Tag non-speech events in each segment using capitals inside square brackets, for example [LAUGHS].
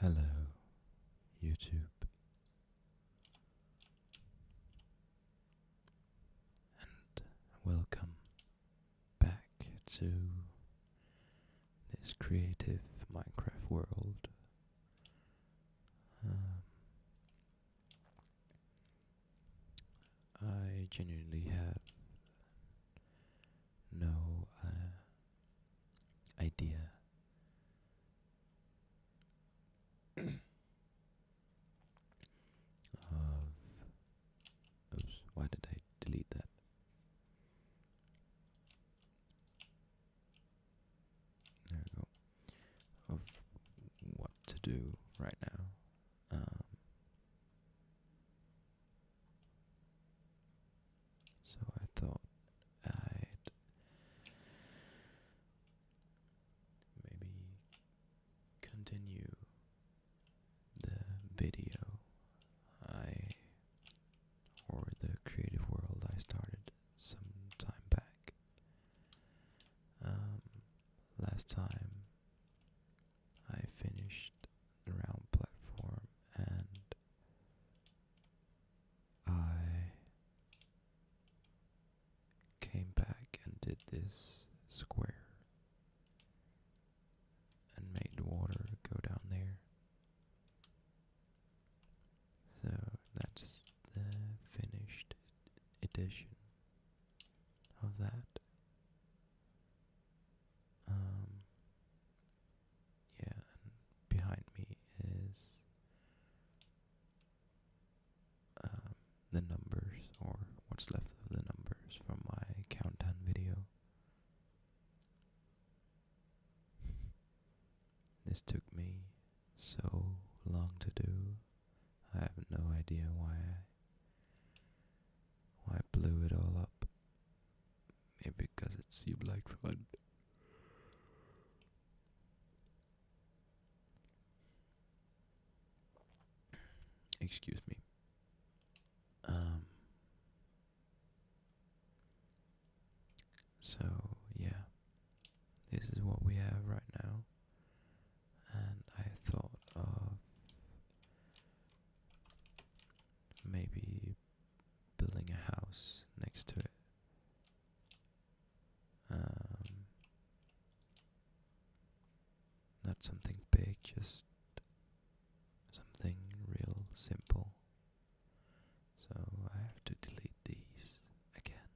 Hello, YouTube, and welcome back to this creative Minecraft world. Um, I genuinely have no uh, idea. of [COUGHS] uh, oops, why did I delete that? There we go. Of what to do right now. Um, so I thought I'd maybe continue the video I or the creative world I started some time back. Um, last time I finished the round platform and I came back and did this square and made the water go down there. So that's the finished edition of that. Um, yeah, behind me is um, the numbers, or what's left of the numbers from my countdown video. [LAUGHS] this took me so long to do. I have no idea why I why blew it all up? Maybe because it seemed like fun. Excuse me. Um. So yeah, this is what we have right now, and I thought of Maybe building a house next to it. Um, not something big, just something real simple. So I have to delete these again.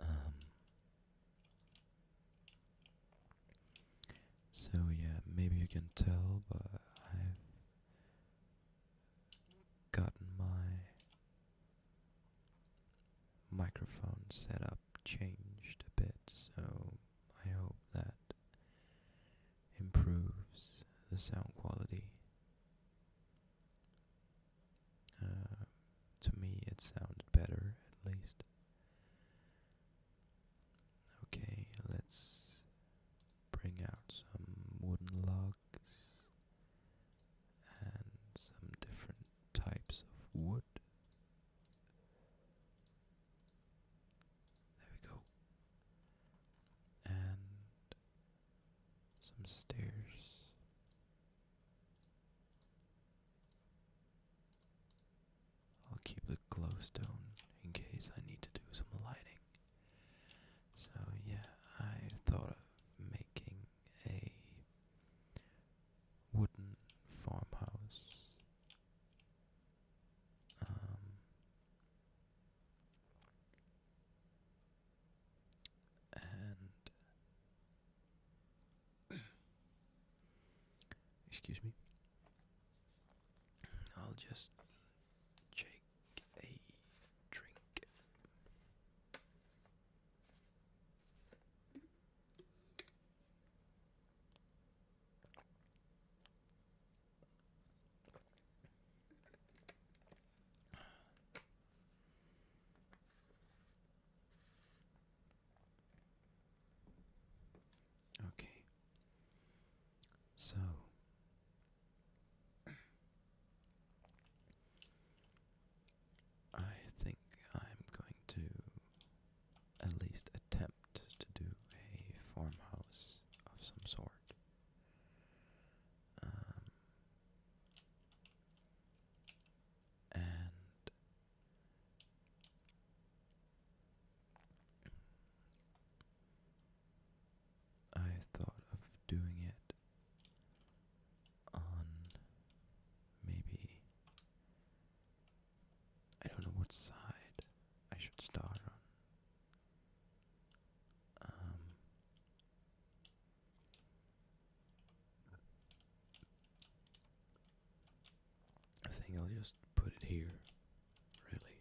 Um, so yeah, maybe you can tell, but I've gotten my microphone set up changed a bit, so I hope that improves the sound quality. Uh, to me, it sounded better at least. Okay, let's bring out some wooden logs and some different types of wood. There we go. And some stairs. I'll keep the glowstone in case I need to do some lighting. So yeah, I thought of making a wooden farmhouse. Um, and Excuse me. I'll just take a drink. Okay. So I think I'm going to at least attempt to do a farmhouse of some sort. Um, and I thought of doing it on maybe I don't know what side I should start on. Um, I think I'll just put it here, really.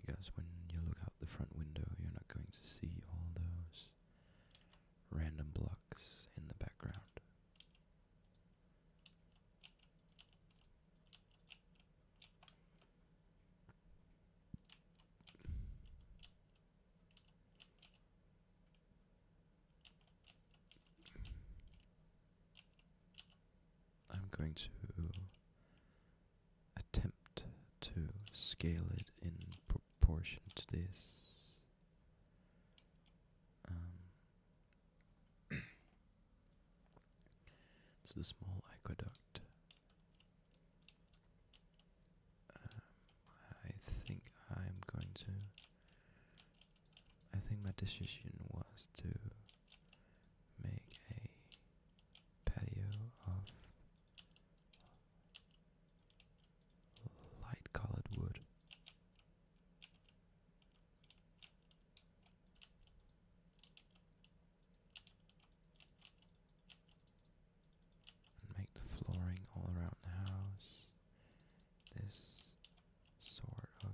Because when you look out the front window, you're not going to see all those random blocks in the background. I'm going to attempt to scale it in proportion to this. Um, [COUGHS] it's a small aqueduct. Um, I think I'm going to I think my decision was to make a patio of light colored wood. And make the flooring all around the house this sort of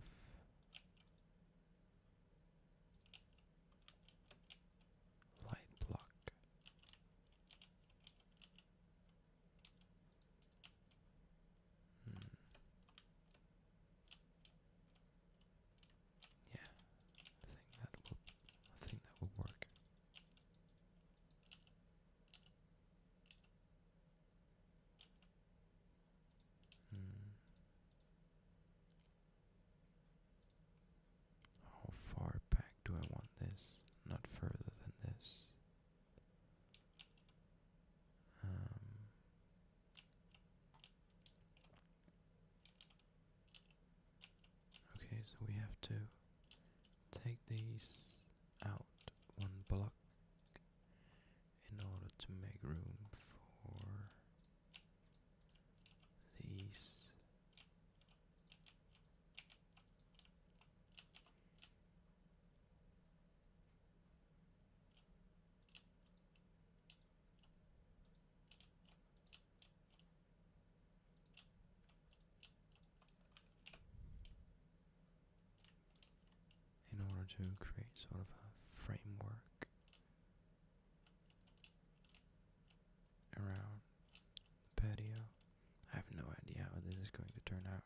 light block. Hmm. Yeah, I think that will I think that will work. Hmm. How far back do I want this? Not further than this. Um. Okay, so we have to take these out one block in order to make room for these in order to create sort of a framework around the patio. I have no idea how this is going to turn out.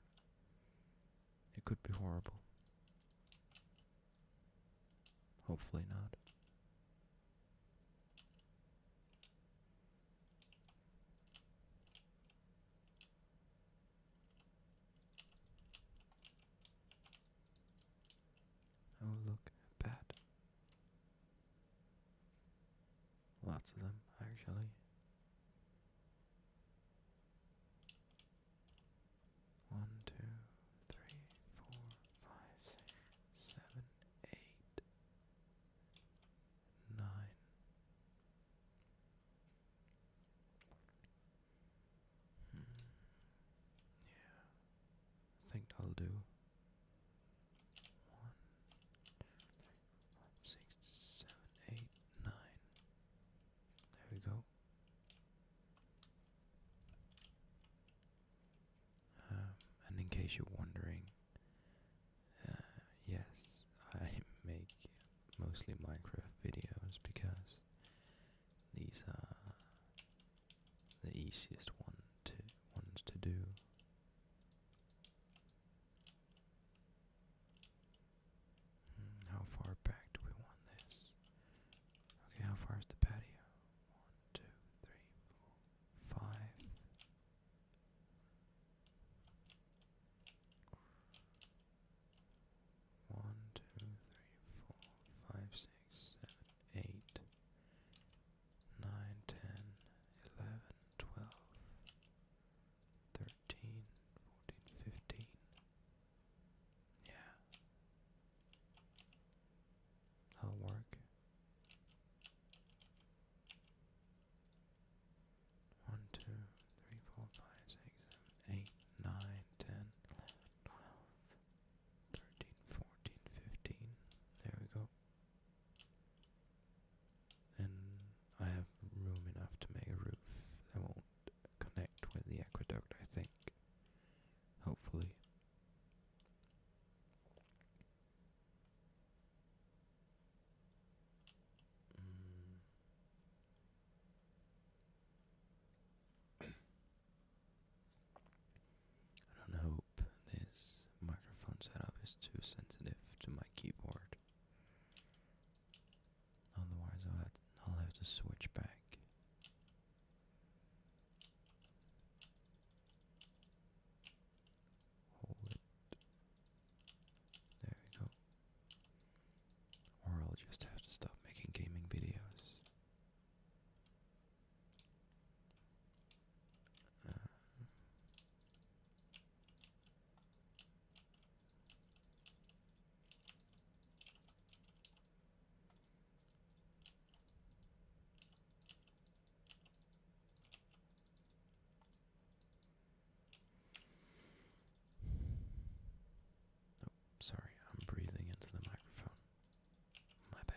It could be horrible. Hopefully not. Oh, look, a Lots of them, actually. One, two, three, four, five, six, seven, eight, nine, Hmm. Yeah, I think that'll do. One, five, six, seven, eight, nine. There we go. Um, and in case you're wondering, uh, yes, I make mostly Minecraft videos because these are uh, the easiest one to ones to do. Hmm, how far back do we want this? Okay, how far is the patio? One, two, three, four, five. One, two, three, four, five, six, seven, eight, nine, ten, eleven, twelve, thirteen, fourteen, fifteen. Yeah. That'll work. 1, 2, 3, 4, 5, 6, 7, 8, 9, 10, 11, 12, 13, 14, 15. There we go. And I have room enough to make a roof that won't connect with the aqueduct, I think. Hopefully. Mm. [CLEARS THROAT] I don't hope this microphone setup is too sensitive to my keyboard. Otherwise, I'll have to switch back. Hold it. There we go. Or I'll just have to stop making gaming videos. Oh, sorry, I'm breathing into the microphone. My bad.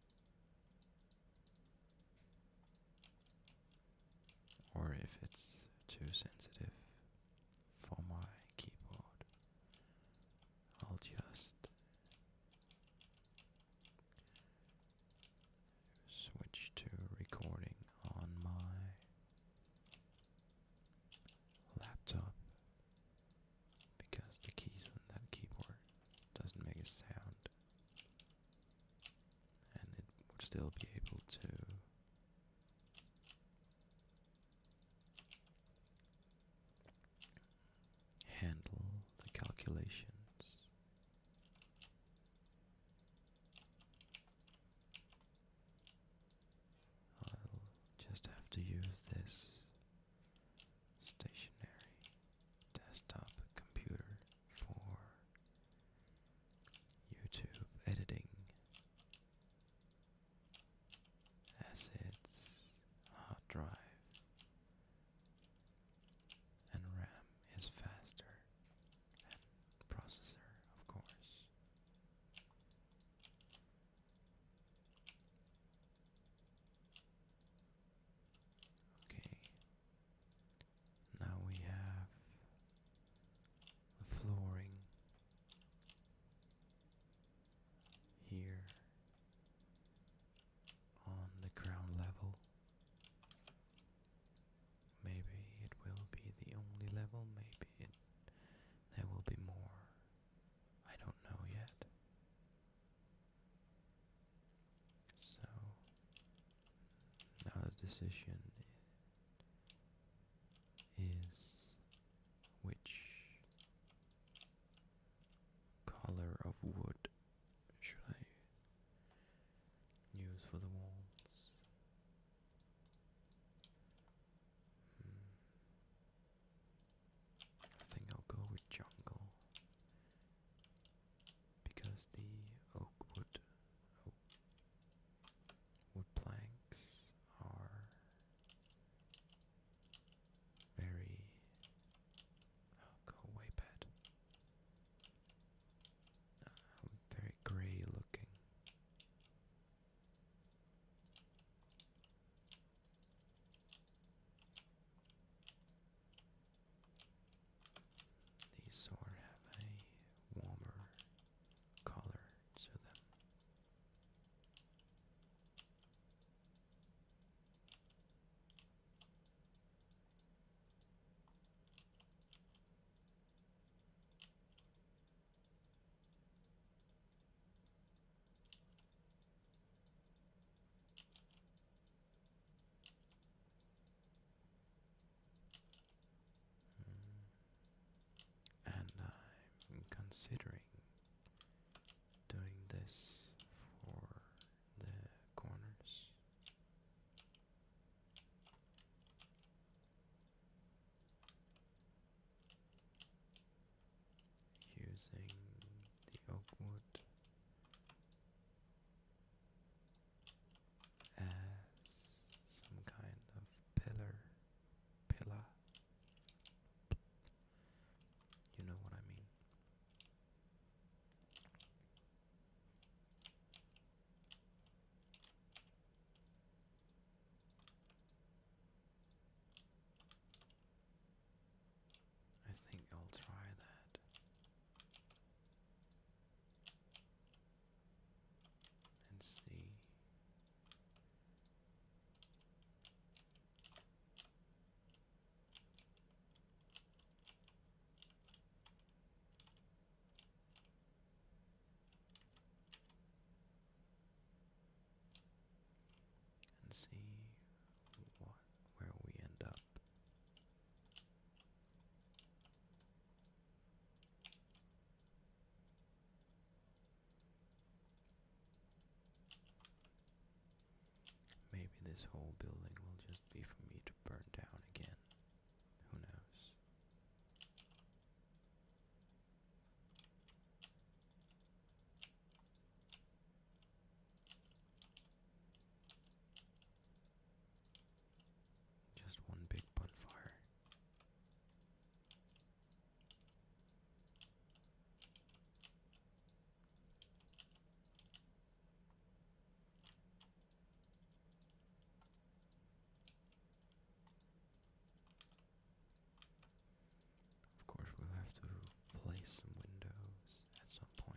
or if it's too sensitive for my keyboard, I'll just switch to recording on my laptop because the keys on that keyboard doesn't make a sound and it would still be able to handle the calculations. I'll just have to use this stationary desktop computer for YouTube editing. Assets, hard drive, and RAM is faster, than processor, of course. Okay, now we have the flooring here on the ground level. Maybe it will be the only level, maybe there will be more. I don't know yet. So now the decision is which color of wood should I use for the walls? Hmm. I think I'll go with jungle because the oak wood, wood planks are very. Oh, go away, bed. Uh, very grey looking. These sort have a warmer color to them. Hmm. And I'm considering doing this for the corners. Using the oak wood as some kind of pillar, pillar. You know what I mean. I think I'll try that. And see. And see where we end up. Maybe this whole building will just be for me to burn down again. Who knows? Just one big bonfire. Of course, we'll have to place some windows at some point.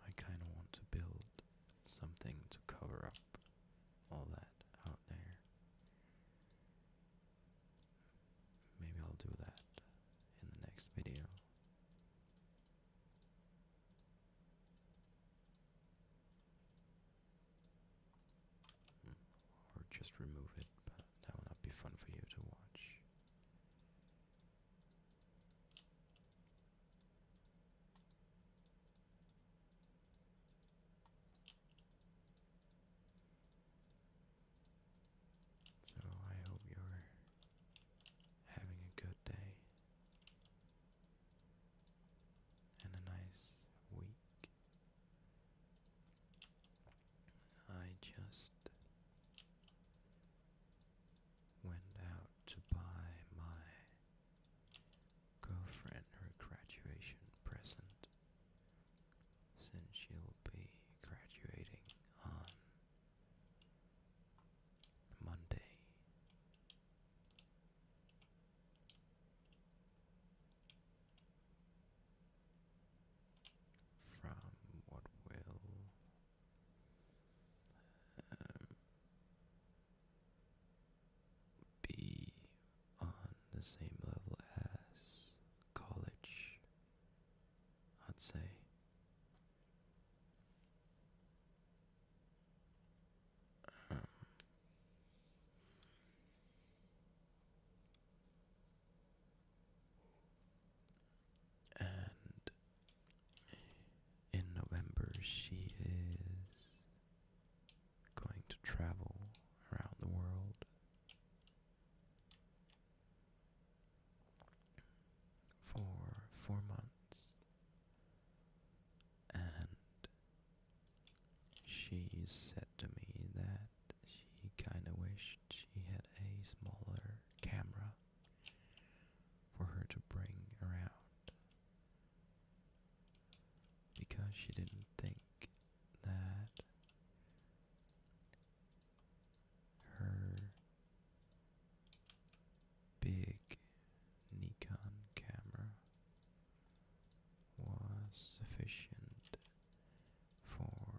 I kind of want to build something to cover up all that out there. Maybe I'll do that in the next video. Hmm. Or just remove it, but that will not be fun for you to watch. So I hope you're having a good day and a nice week. I just went out to buy my girlfriend her graduation present since she'll be graduating on Monday. From what will um, be on the same level as college, I'd say and in November she is going to travel around the world for four months and she said to me that she kind of wished she had a smaller camera for her to bring around. Because she didn't think that her big Nikon camera was sufficient for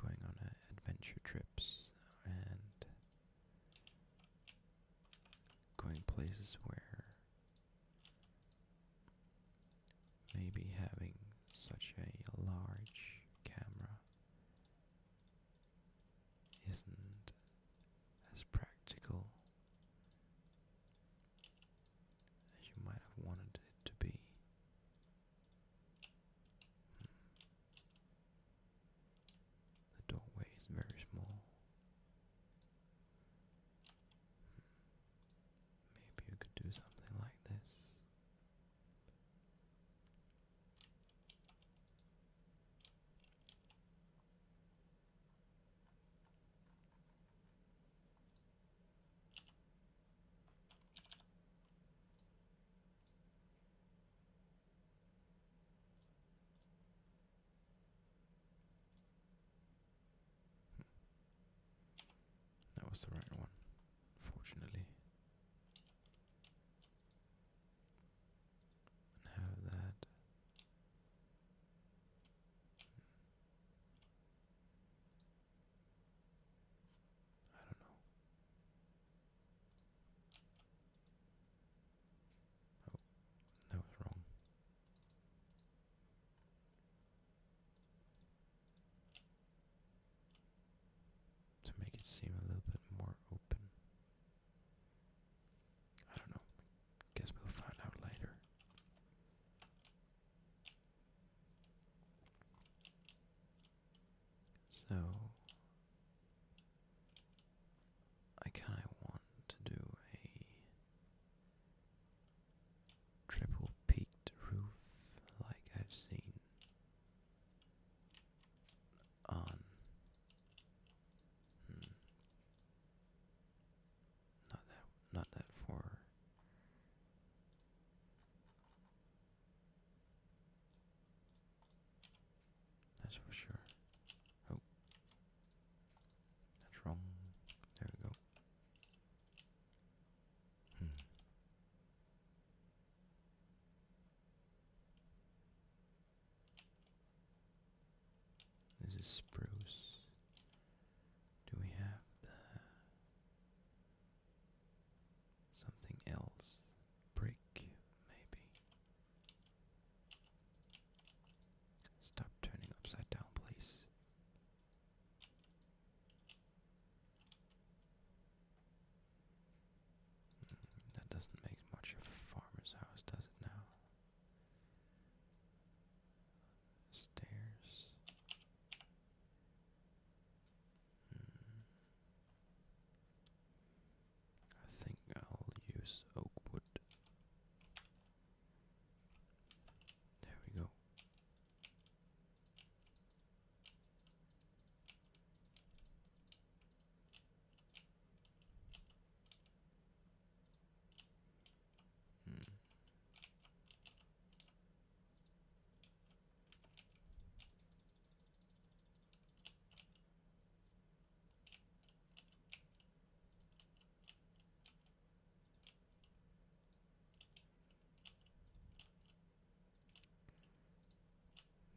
going on adventure trips and going places where maybe having such a large camera isn't as practical as you might have wanted it to be. Hmm. The doorway is very small. Maybe you could do something like this. Hmm. That was the right one, fortunately. have that. Hmm. I don't know. Oh, that was wrong. To make it seem a little bit more open. I don't know. Guess we'll find out later. So I kind of want to do a triple peaked roof like I've seen on hmm, not that not that for that's for sure. Oh. That's wrong. There we go. Hmm. This is spruce. Do we have the Something else. Brick, maybe. Stop turning upside down, please. Hmm, that doesn't make much of a farmer's house, does it now? Stairs. Hmm. I think I'll use oak wood. There we go. Hmm.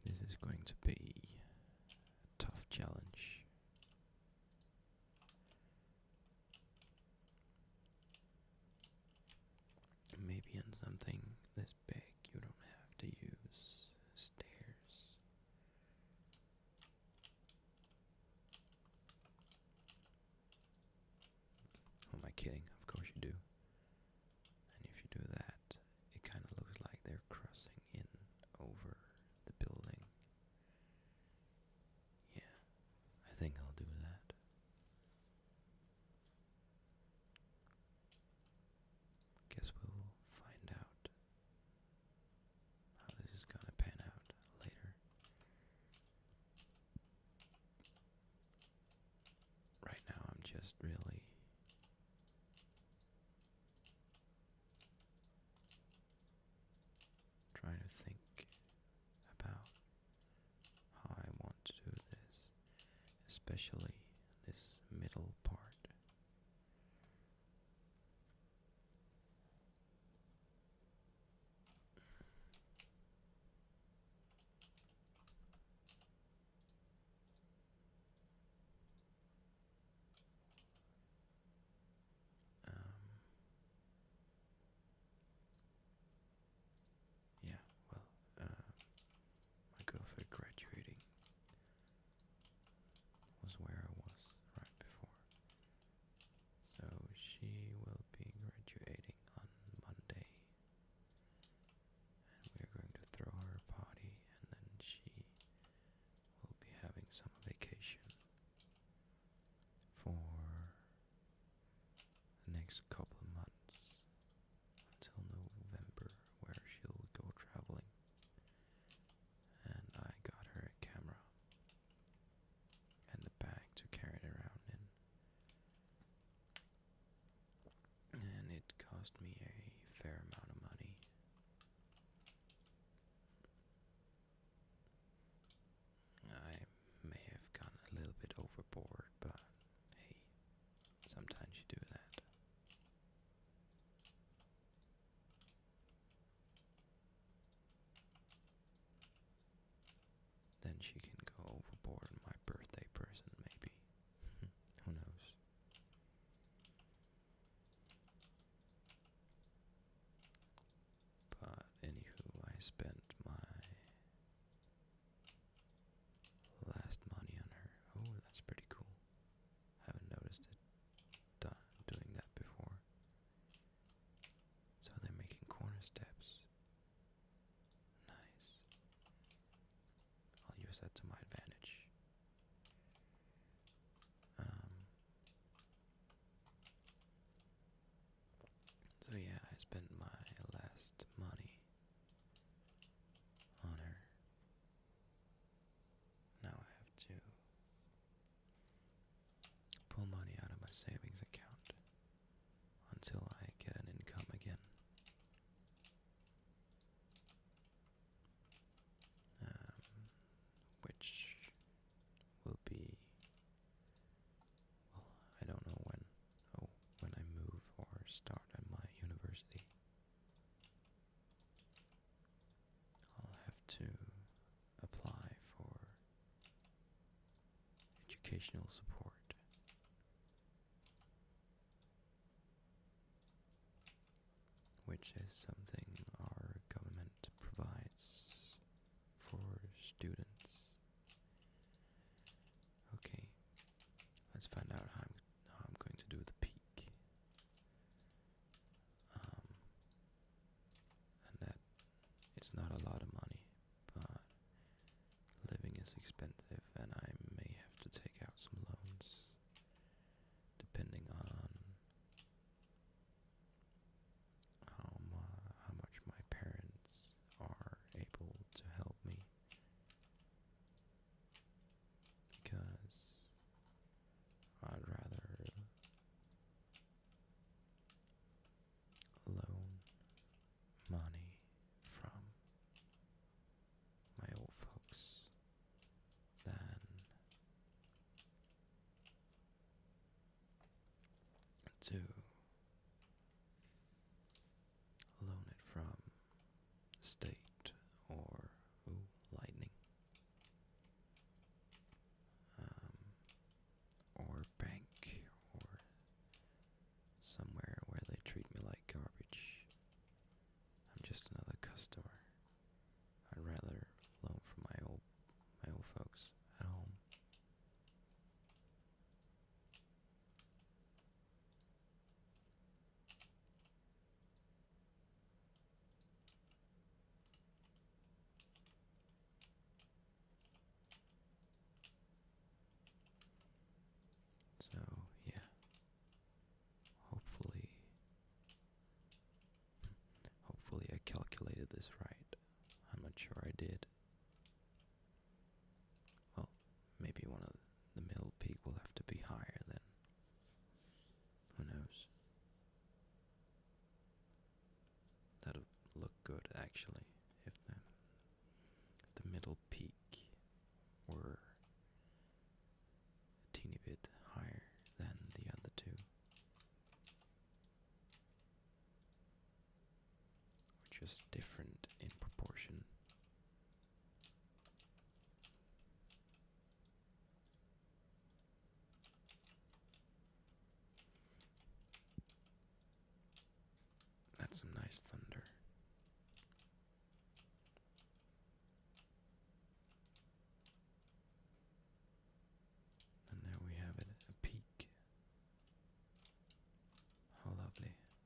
This is going to be a tough challenge. Maybe on something this you don't have to use stairs. am I kidding? Of course you do. And if you do that, it kind of looks like they're crossing in over the building. Yeah, I think I'll do that. Guess we'll find out how this is gonna pan out later. Right now, I'm just really trying to think about how I want to do this especially this middle part. Um, yeah, well, uh, my girlfriend graduating was where I was right before. So she will be graduating on Monday. And we're going to throw her party and then she will be having some vacation for the next couple of months until November, where she'll go traveling. And I got her a camera and a bag to carry it around in. And it cost me a fair amount of money. I may have gone a little bit overboard, but hey, Sometimes you do that. Then she can go overboard my birthday person, maybe. [LAUGHS] Who knows? But anywho, I spent my Last money on her. Oh, that's pretty cool. Haven't noticed it done doing that before. So they're making corner steps. Nice. I'll use that to my advantage. Um, so yeah, I spent my last money on Now I have to pull money out of my savings account until I get an income again. Um, which will be I don't know when. Oh, when I move or start at my university, I'll have to apply for educational support. Which is something our government provides for students Okay, let's find out how I'm, going to do the peak. Um, and that it's not a lot of money, but living is expensive, and I may have to take out some loans depending on how much my parents are able to help me because I'd rather loan money from my old folks than to loan it from state or lightning um, or bank or somewhere where they treat me like garbage. I'm just another customer. I'd rather loan from my old my old folks at home. So, yeah. Hopefully, hopefully I calculated this right. I'm not sure I did. Well, maybe one of the middle peak will have to be higher then. Who knows? that would look good actually if the, if the middle peak were a teeny bit higher than the other two. We're just different in proportion. That's some nice thunder. And now we have a peak. How lovely.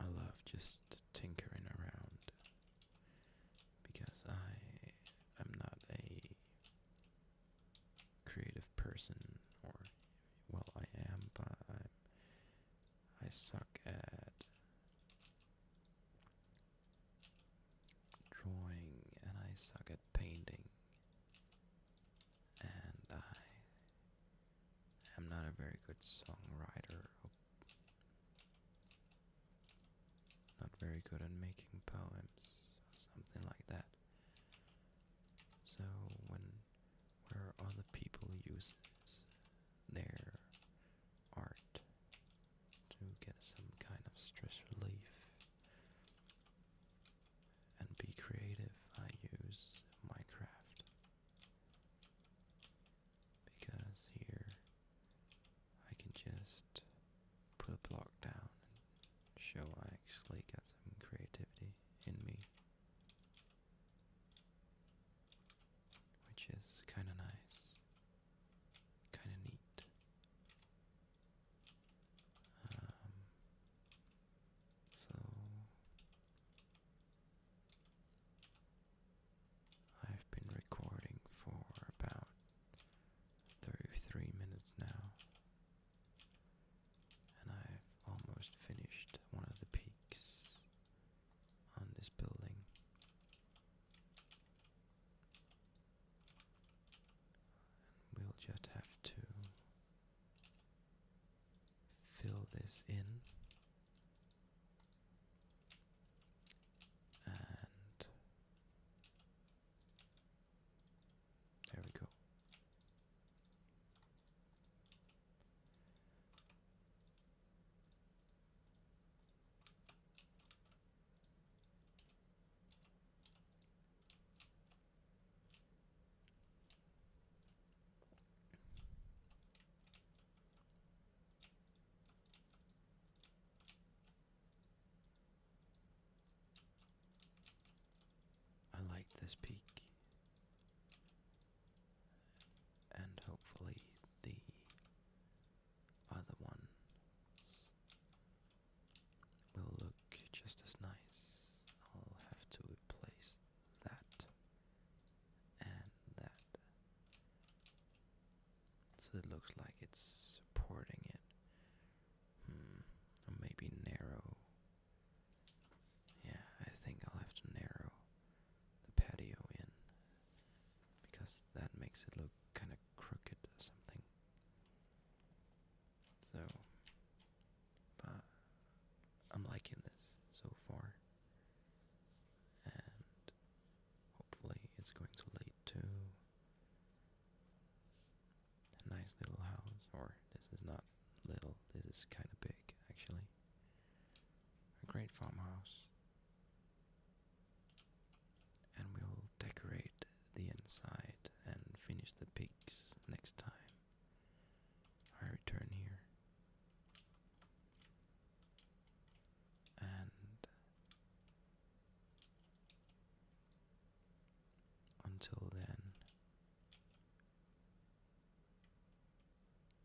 I love just tinkering around because I am not a creative person or well I am but I'm I suck at drawing and I suck at painting and I am not a very good songwriter, not very good at making poems or something like that. So when where other people use their art to get some kind of stress relief and be creative, I use Minecraft because here I can just put a block down and show I actually got some creativity in me, which is kind of nice, kind of neat. Um, so I've been recording for about 33 minutes now, and I've almost finished one of the peaks on this building we'll just have to fill this in and there we go. I like this peak, and hopefully the other ones will look just as nice. I'll have to replace that and that. So it looks like it's supporting it. Hmm, maybe narrow. Yeah, I think I'll have to narrow the patio in because that makes it look kind of crooked or something. So, but I'm liking this so far, and hopefully, it's going to lead to a nice little house. Or, this is not little, this is kind of big actually. A great farmhouse and we'll decorate the inside and finish the peaks next time. I return here. And until then,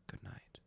good night.